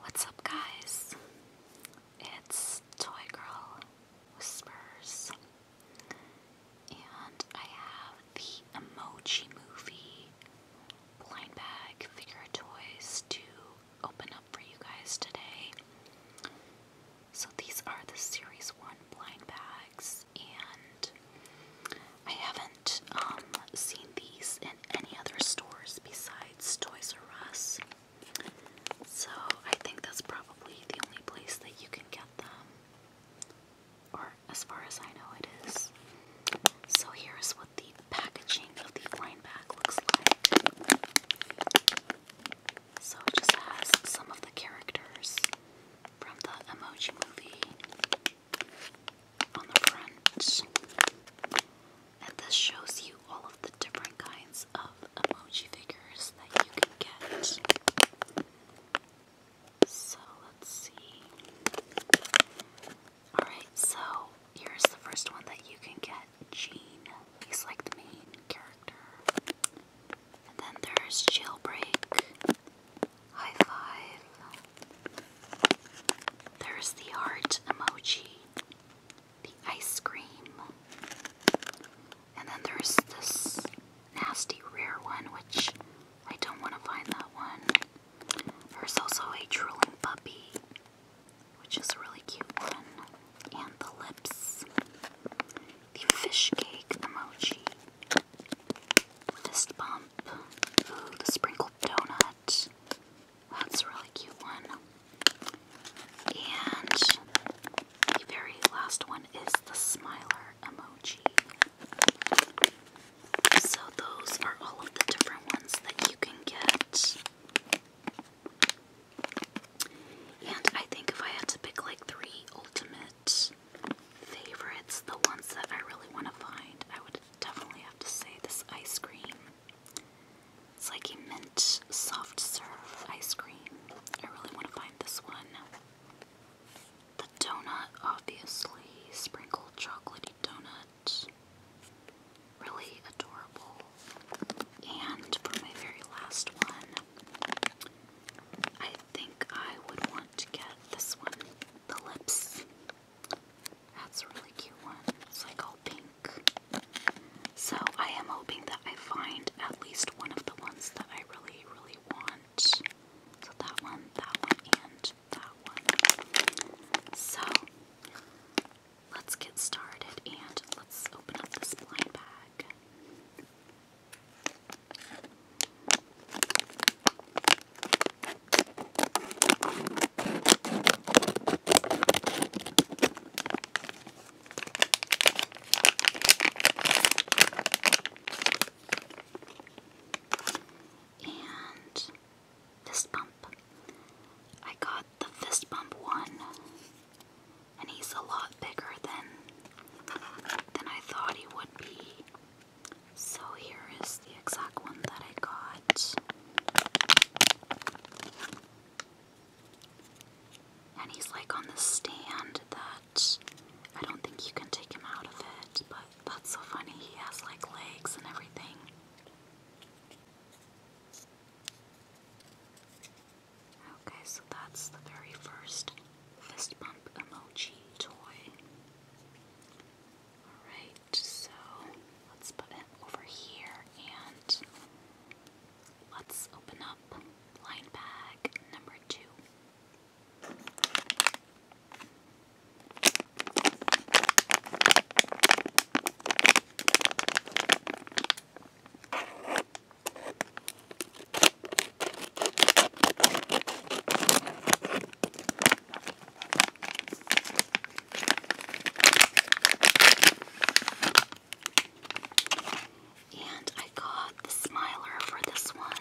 What's up, guys? It's Toy Girl Whispers, and I have the Emoji Movie blind bag figure toys to open up for you guys today. So, these are the Series 1 blind bags, and I haven't um, seen these in any other stores besides Toys R Us. So I think that's probably the only place that you can get them. Or as far as I know it is. So here's what the packaging of the lineback looks like. So it just has some of the characters from the emoji movie and this shows you all of the different kinds of emoji figures that you can get. So let's see. Alright, so here's the first one that you can get Jean. He's like the main character. And then there's Jailbreak. High five. There's the heart emoji, the ice cream, and then there's this nasty rare one, which I don't want to find that one. There's also a drooling puppy, which is a really cute one, and the lips, the fish cake emoji, this bump. Ooh, the sprinkled donut. That's a really cute one. And the very last one is the smiler emoji. So those are all of the different ones that you can get. And I think if I had to pick like three ultimate favorites, the ones that I really want to find, I would definitely have to say this ice cream. It's like a mint soft serve ice cream. I really want to find this one. The donut, obviously, sprinkled chocolatey donut. Really adorable. And for my very last one, I think I would want to get this one, the lips. That's a really cute one. It's like all pink. So I am hoping that I find at least one of the ones that I really, really want. So that one, that one, and that one. So let's get started and let's open up this blind bag. And fist bump. I got the fist bump one, and he's a lot bigger than than I thought he would be. So here is the exact one that I got. And he's like on the stand that I don't think you can take him out of it, but that's so funny. He has like legs and everything. Okay, so that's the very first fist bump emoji toy. Alright, so let's put it over here and let's open up line bag number two. And I got the smiler for this one.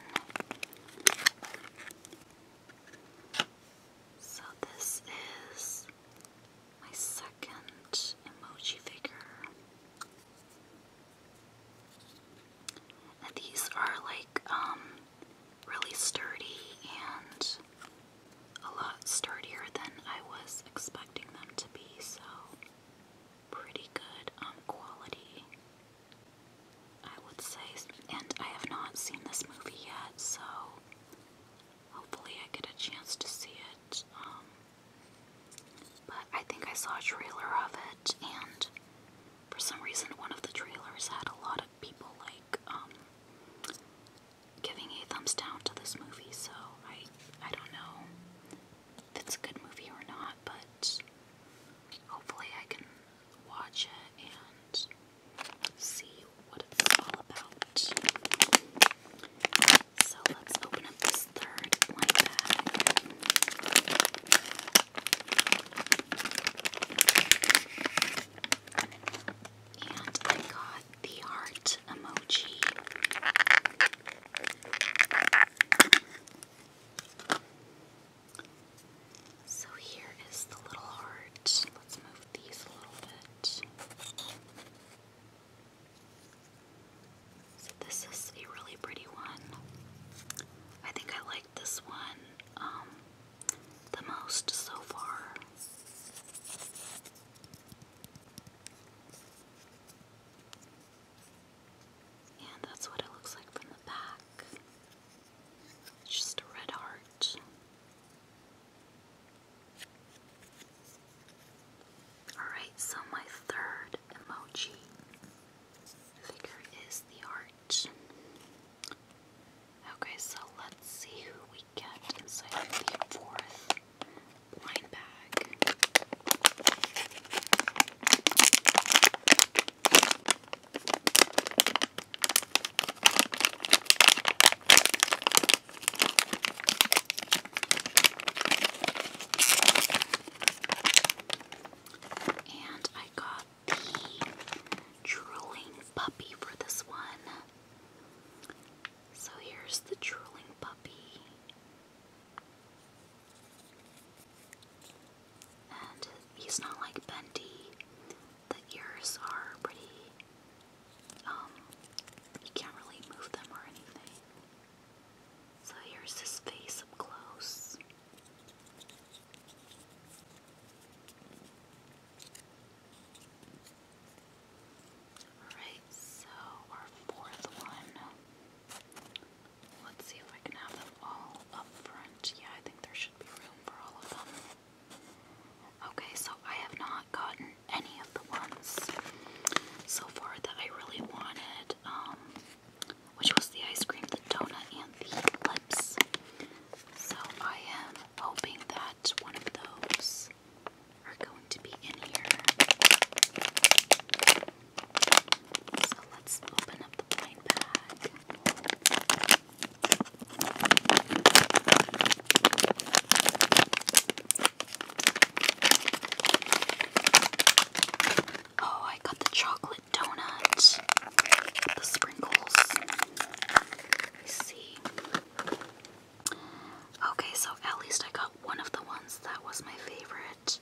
So this is my second emoji figure. These are like um, really sturdy and a lot sturdier than I was expecting them to be, so pretty good um, quality, I would say. And I have not seen this movie yet, so hopefully I get a chance to see it. Um, but I think I saw a trailer of it, and for some reason, one of the trailers had a lot of people like um, giving a thumbs down to this movie. So I, I don't know if it's a good movie or not, but hopefully, I can watch it and see what it's all about. So let's open up this third blind bag. And I got the heart emoji. So here is the little heart. Let's move these a little bit. So this is a really pretty one. I think I like this one um, the most so far. And that's what it looks like from the back. just a red heart. Alright, so my third emoji figure is the heart. Okay, so let's see who we get inside the fourth blind bag. And I got the drooling puppy for this one. So here's the drooling puppy. And he's not like Bendy. The ears are pretty um, you can't really move them or anything. So here's his face up close. Alright, so our fourth one. Let's see if I can have them all up front. Yeah, I think there should be room for all of them. Okay, so I have not gotten any of the ones so far that I really wanted, um, which was the ice cream, the donut, and the lips. So I am hoping that one of those are going to be in here. So let's open up the blind bag. Oh, I got the chocolate donut. The sprinkles. I see. Okay, so at least I got one of the ones that was my favorite.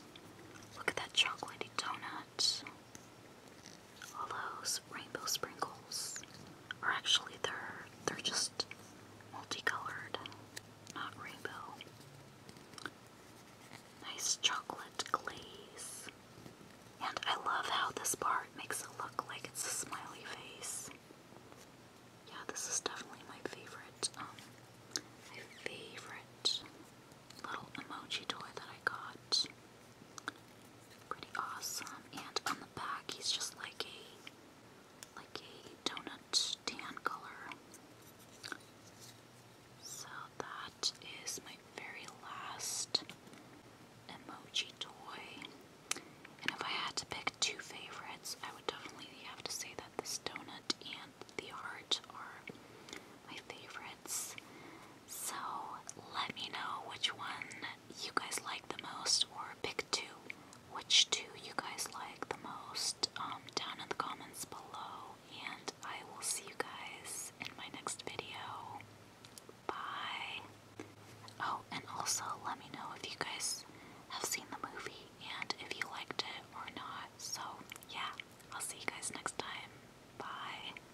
Look at that chocolatey donut all those rainbow sprinkles are actually they're they're just multicolored, not rainbow. Nice chocolate glaze. And I love how this part makes it look like it's a smiley face. Yeah, this is definitely my favorite, um, my favorite little emoji toy that I got. Pretty awesome. And on the back, he's just like a like a donut tan color. So that is my very last emoji toy. And if I had to pick two favorites, I would definitely have to say that this donut and the heart are my favorites. So let me know which one you guys like the most, or pick two. Which two you guys like the most um, down in the comments below, and I will see you guys in my next video. Bye. Oh, and also let me know if you guys have seen the movie and if you liked it or not. So, yeah, I'll see you guys next time. Bye.